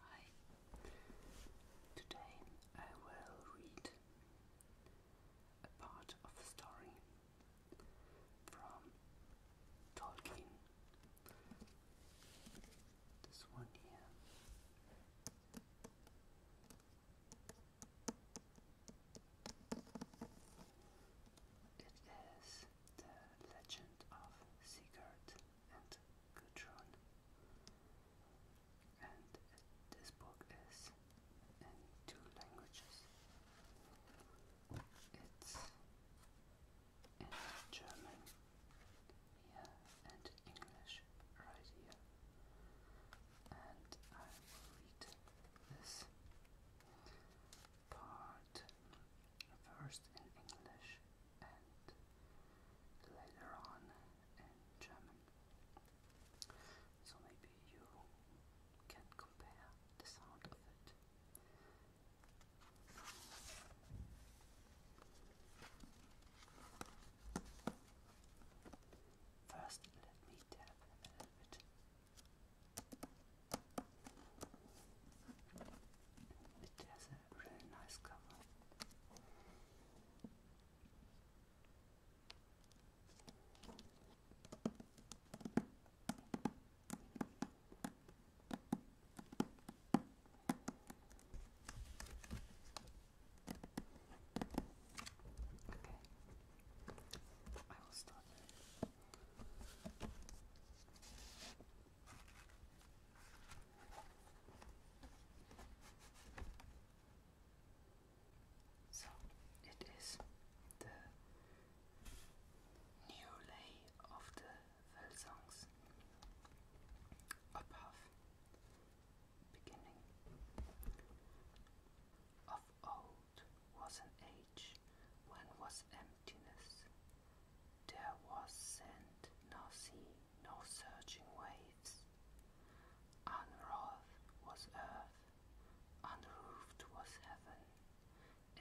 Hi, today I will read a part of the story from Tolkien. This one here. It is the legend of Sigurd and Gudrun. And this book is in two languages. It's in German here and English right here. And I will read this part out first in English and later on in German. So maybe you can compare the sound of it. First, let me tap a little bit it has a really nice cover. Okay. I will start. So it is the new lay of the Velsongs above beginning of all was an age when was emptiness. There was sand, no sea, no surging waves. Unwrought was earth, unroofed was heaven,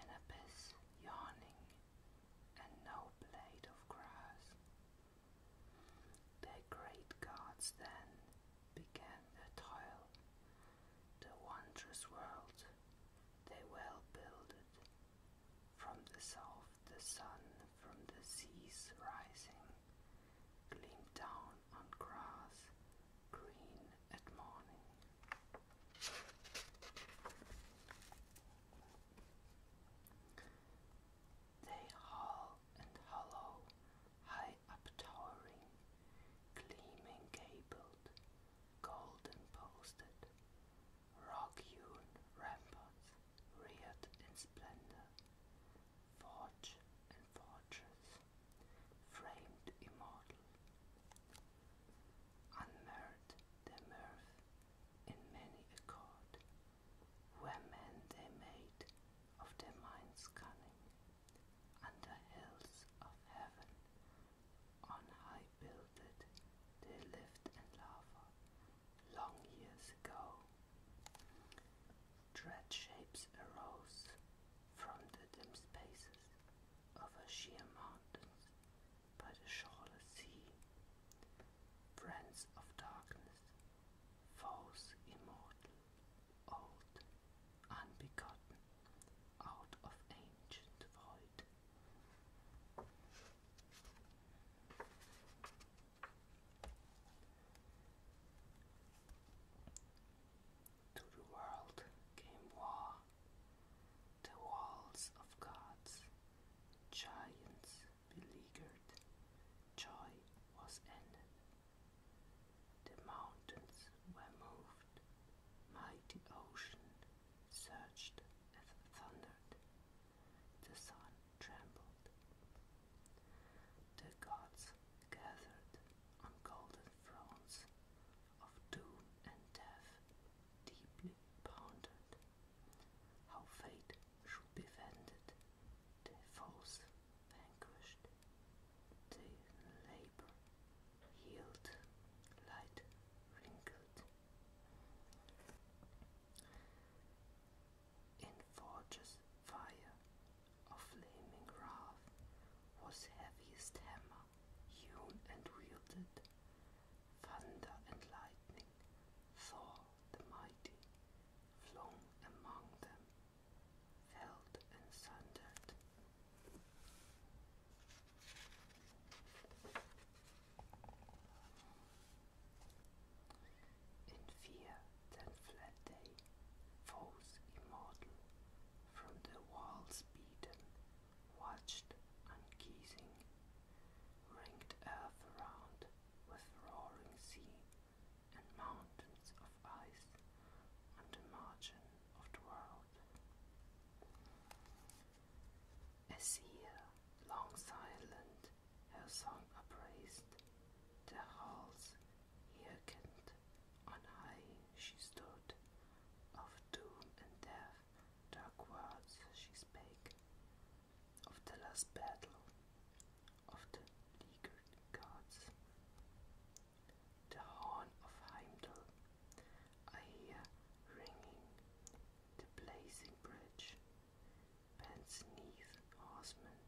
an abyss yawning, and no blade of grass. Their great gods then began their toil, the wondrous world they well builded, from the south the sun from the seas rising gleamed down on grass green at morning. They hull and hollow, high up towering, gleaming gabled, golden posted, rock-hewn ramparts reared in splendor, forge and fortress, framed immortal, unmerred their mirth in many accord, where men they made of their minds cunning, under hills of heaven on high builded they lived in lava long years ago. Dread shapes arose from the dim spaces over sheer mountains by the shoreless sea. Friends of darkness, foes immortal, old unbegotten out of ancient void. To the world came war, the walls of gods, giants beleaguered, joy was ended. The mountains were moved, mighty ocean surged and thundered. The sun trembled. The gods gathered on golden thrones of doom and death, deeply pondered how fate should be vended. The false vanquished, they labored healed, light, wrinkled. In fire of flaming wrath was heaviest hammer, hewn and wielded, thunder and lightning, Thor the mighty, flung among them, felled and sundered, in fear then fled they, foes immortal, from the walls beaten, watched unceasing, ranked earth around with roaring sea and mountains of ice on the margin of the world. As here, long silent, her song upraised, the halls hearkened, on high she stood, of doom and death dark words she spake, of the last battle, of the leaguered gods. The horn of Heimdall I hear ringing the blazing bridge. Pants neath horsemen,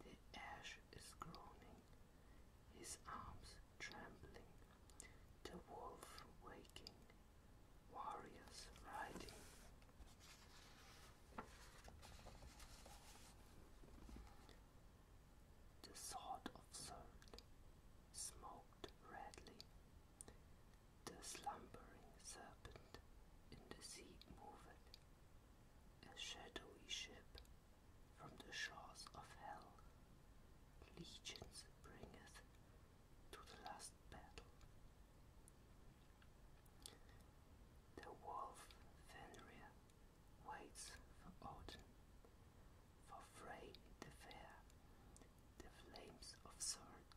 the ash is groaning, his arms trembling, the wolf waking, warriors riding. The sword of salt smoked redly. The slumbering serpent in the sea moved, a shadowy ship from the shores of hell. Legions bringeth to the last battle. The wolf Fenrir waits for Odin, for Frey the Fair, the flames of sword.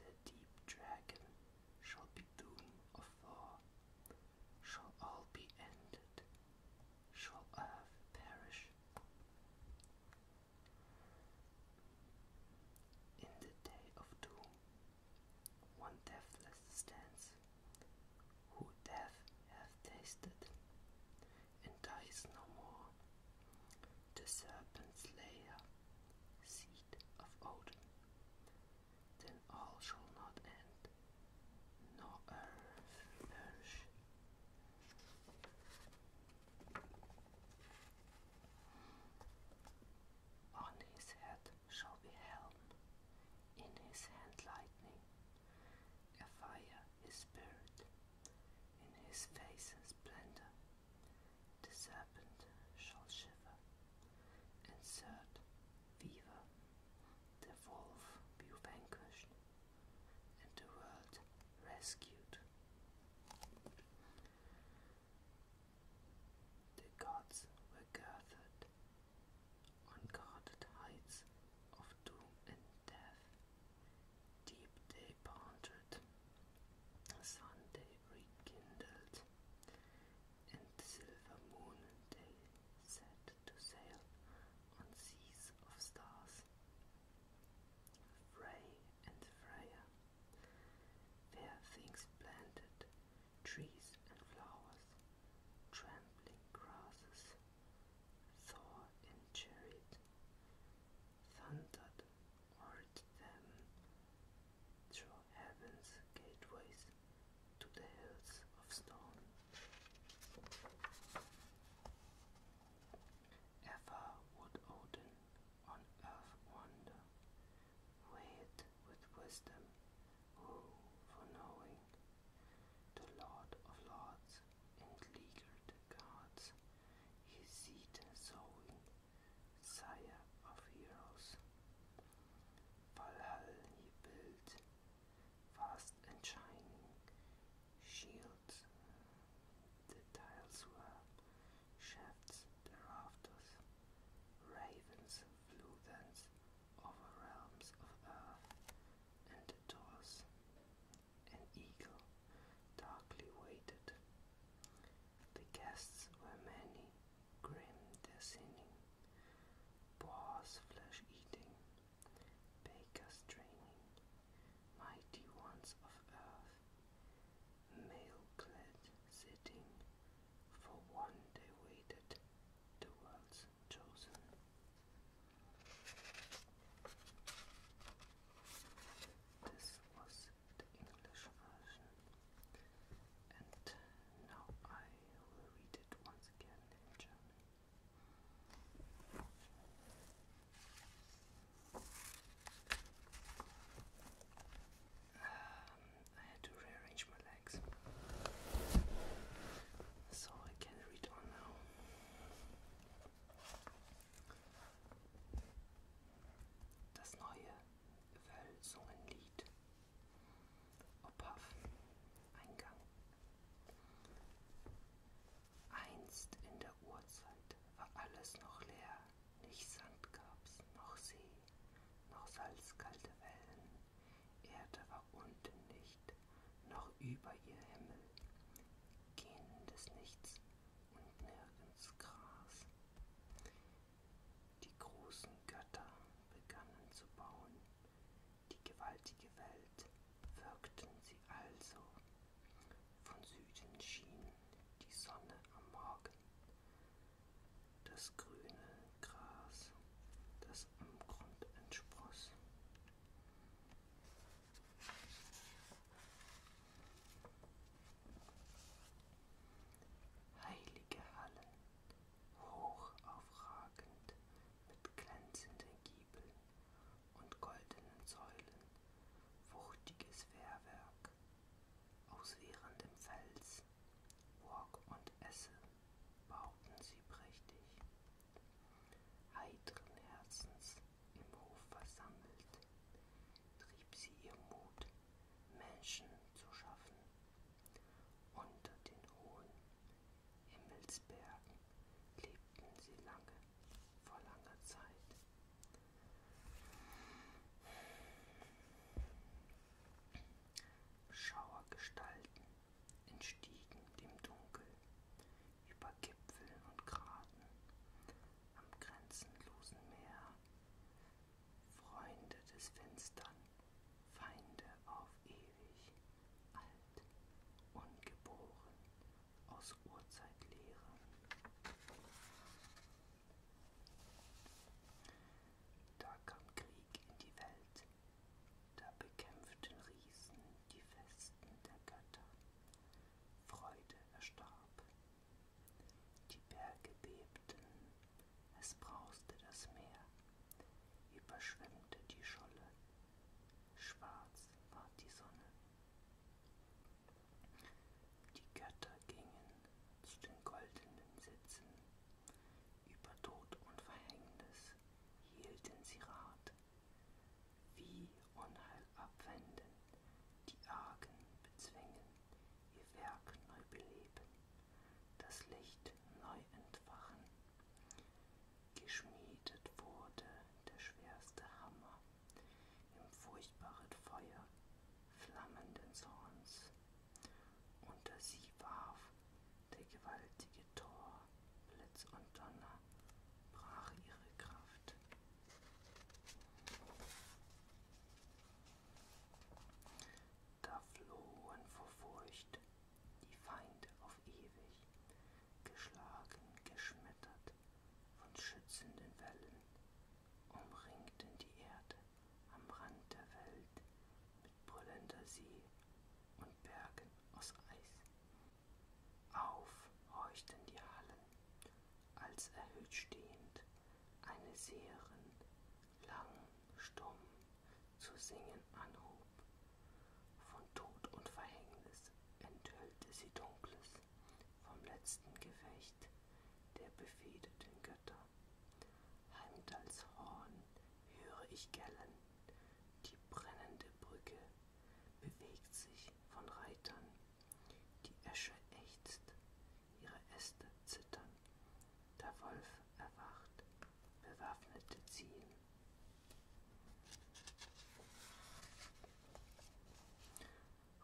The deep dragon shall be doom of war, shall all be ended, shall earth perish. In the day of doom, one deathless stands, who death hath tasted and dies no more. The serpent's lair, seed of Odin. Then all shall not end, nor earth perish. On his head shall be helm, in his hand lightning, a fire, his spirit, in his face and splendor, the serpent shall shiver, and third, fever, the wolf be vanquished, and the world rescued. The gods were gathered on guarded heights of doom and death, deep they pondered, Sunday rekindled, and silver moon they set to sail on seas of stars. Frey and Freya, fair things planted, trees and flowers, trampling grasses, Thor and Jared thundered o'er them through heaven's gateways to the hills of stone. Ever would Odin on earth wander, weighed with wisdom, who for knowing the Lord of Lords, and gods, his seed and sowing, sire of heroes. Valhalla he built, vast and shining, shields the tiles were, shafts the rafters, ravens flew thence over realms of earth, and the doors. An eagle darkly waited. The guests were many, grim their sinning, boars flesh eating, bakers draining, mighty ones of earth, male clad sitting, for one day waited the world's chosen. This was the English version, and now I will read it once again in German. Um, I had to rearrange my legs so I can read on now. Das neue Wölsungenlied. Opav, Eingang. Einst in der Urzeit war alles noch leer, nicht Sand gab's, noch See, noch salzkalte Wellen, Erde war aber unten nicht, noch über ihr Himmel, gähnendes Nichts und nirgends Gras. Die großen Götter begannen zu bauen, die gewaltige Welt wirkten sie also. Von Süden schien die Sonne am Morgen. Das grüne Gras, das am Grund entspross. Heilige Hallen, hoch aufragend mit glänzenden Giebeln und goldenen Säulen, wuchtiges Wehrwerk aus wehrendem Fels, Burg und Esse bauten sie prächtig. Heiteren Herzens im Hof versammelt, trieb sie ihr Mut, Menschen zu schaffen. Unter den hohen Himmelsbergen lebten sie lange, vor langer Zeit. Schauergestalten entstiegen dem Dunkel, über Gipfeln und Graten, am grenzenlosen Meer, Freunde des Finstern, Feinde auf ewig, alt, ungeboren, aus Urzeitlehre. Da kam Krieg in die Welt, da bekämpften Riesen die Festen der Götter. Freude erstarb. Die Berge bebten, es brauste das Meer, überschwemmte die Scholle, schwarz war die Sonne. Die Götter gingen zu den goldenen Sitzen, über Tod und Verhängnis hielten sie Rat, wie Unheil abwenden, die Argen bezwingen, ihr Werk neu beleben, das Licht neu entfachen. Geschmiedet wurde der schwerste Hammer im furchtbaren Feuer flammenden Zorns. Unter sie warf der gewaltige Tor Blitz und Donner brach ihre Kraft. Da flohen vor Furcht die Feinde auf ewig, geschlagen, geschmettert von schützenden Wellen, umringten die Erde am Rand der Welt mit brüllender See und Bergen aus Eis. Auf horchten die Hallen, als erhöht stehend eine Seherin lang, stumm zu singen anhob. Von Tod und Verhängnis enthüllte sie Dunkles vom letzten Gefecht der befehdeten Götter. Heimdalls Horn höre ich gellen, die brennende Brücke bewegt sich von Reitern. Die Esche ächzt, ihre Äste zittern. Der Wolf erwacht, bewaffnete ziehen.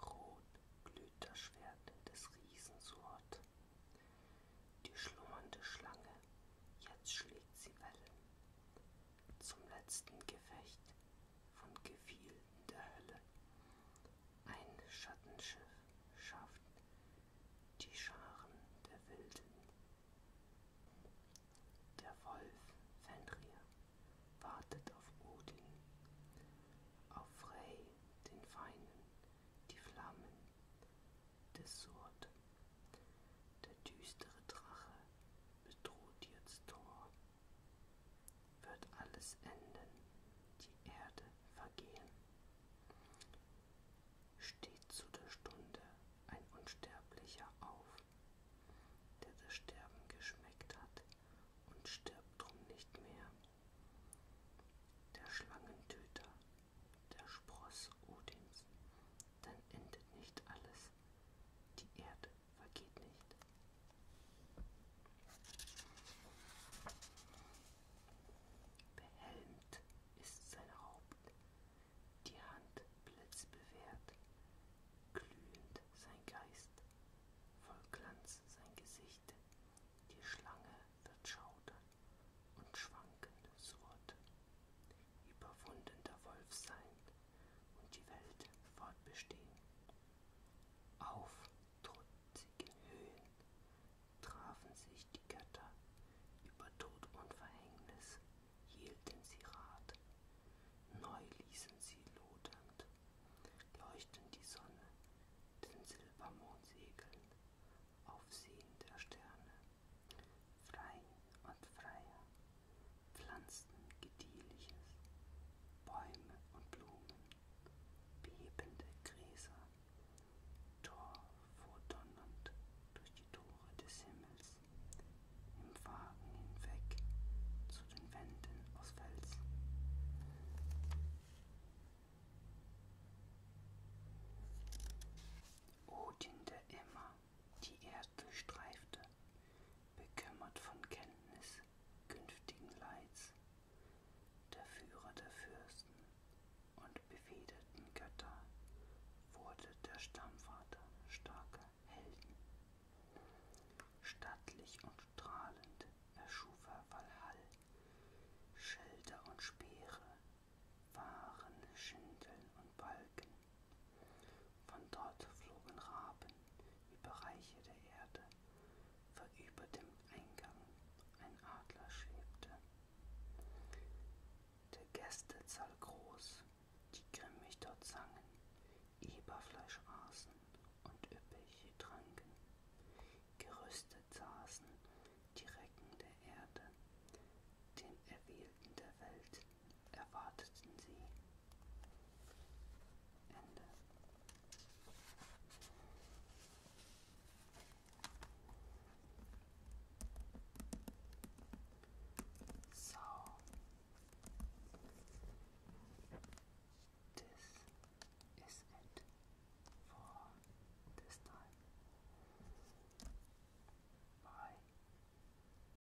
Rot glüht das Schwert des Riesensword. Die schlummernde Schlange, jetzt schlägt sie Wellen zum letzten Gefecht von Gefiel in der Hölle. Ein Schattenschiff schafft die Scharen der Wilden. Der Wolf Fenrir wartet auf Odin, auf Frey, den Feinen, die Flammen des Surt der düstere Drache bedroht jetzt Thor. Wird alles enden, die Erde vergehen. Steht zu der Stunde ein Unsterblicher auf, der das Sterben geschmeckt hat und stirbt drum nicht mehr. Der Schlangentöter, der Spross Odins, dann endet nicht alles, die Erde vergeht nicht. Behelmt ist sein Haupt, die Hand blitzbewehrt, glühend sein Geist, voll Glanz sein Gesicht, die Schlange wird schaudern und schwankend surrt. Überwundener Wolf sein, und die Welt fortbestehen. Auf trutzige Höhen trafen sich die Götter über Tod und Verhängnis, hielten sie Rat, neu ließen sie lodernd, leuchten die Sonne den Silbermond segeln, auf Seen der Sterne, frei und freier Pflanzen Gediehliches, Bäume und Blumen, bebende Gräser, Tor vordonnernd durch die Tore des Himmels, im Wagen hinweg zu den Wänden aus Fels. Odin der Immer, die er durchstreifte, bekümmert von Kenntnis künftigen Leids, der Führer der Fürsten und befederten Götter wurde der Stammvater starker Helden. Stattlich und strahlend erschuf er Valhall, Schilder und Speere, Waren, Schindeln und Balken, von dort flogen Raben über Bereiche der Erde, weil über dem Eingang ein Adler schwebte. Der Gästezahl groß, die grimmig dort sangen, Eberfleisch aßen und üppig tranken. Gerüstet saßen die Recken der Erde, den Erwählten der Welt erwarteten sie. Ende. So. This is it for this time. Bye.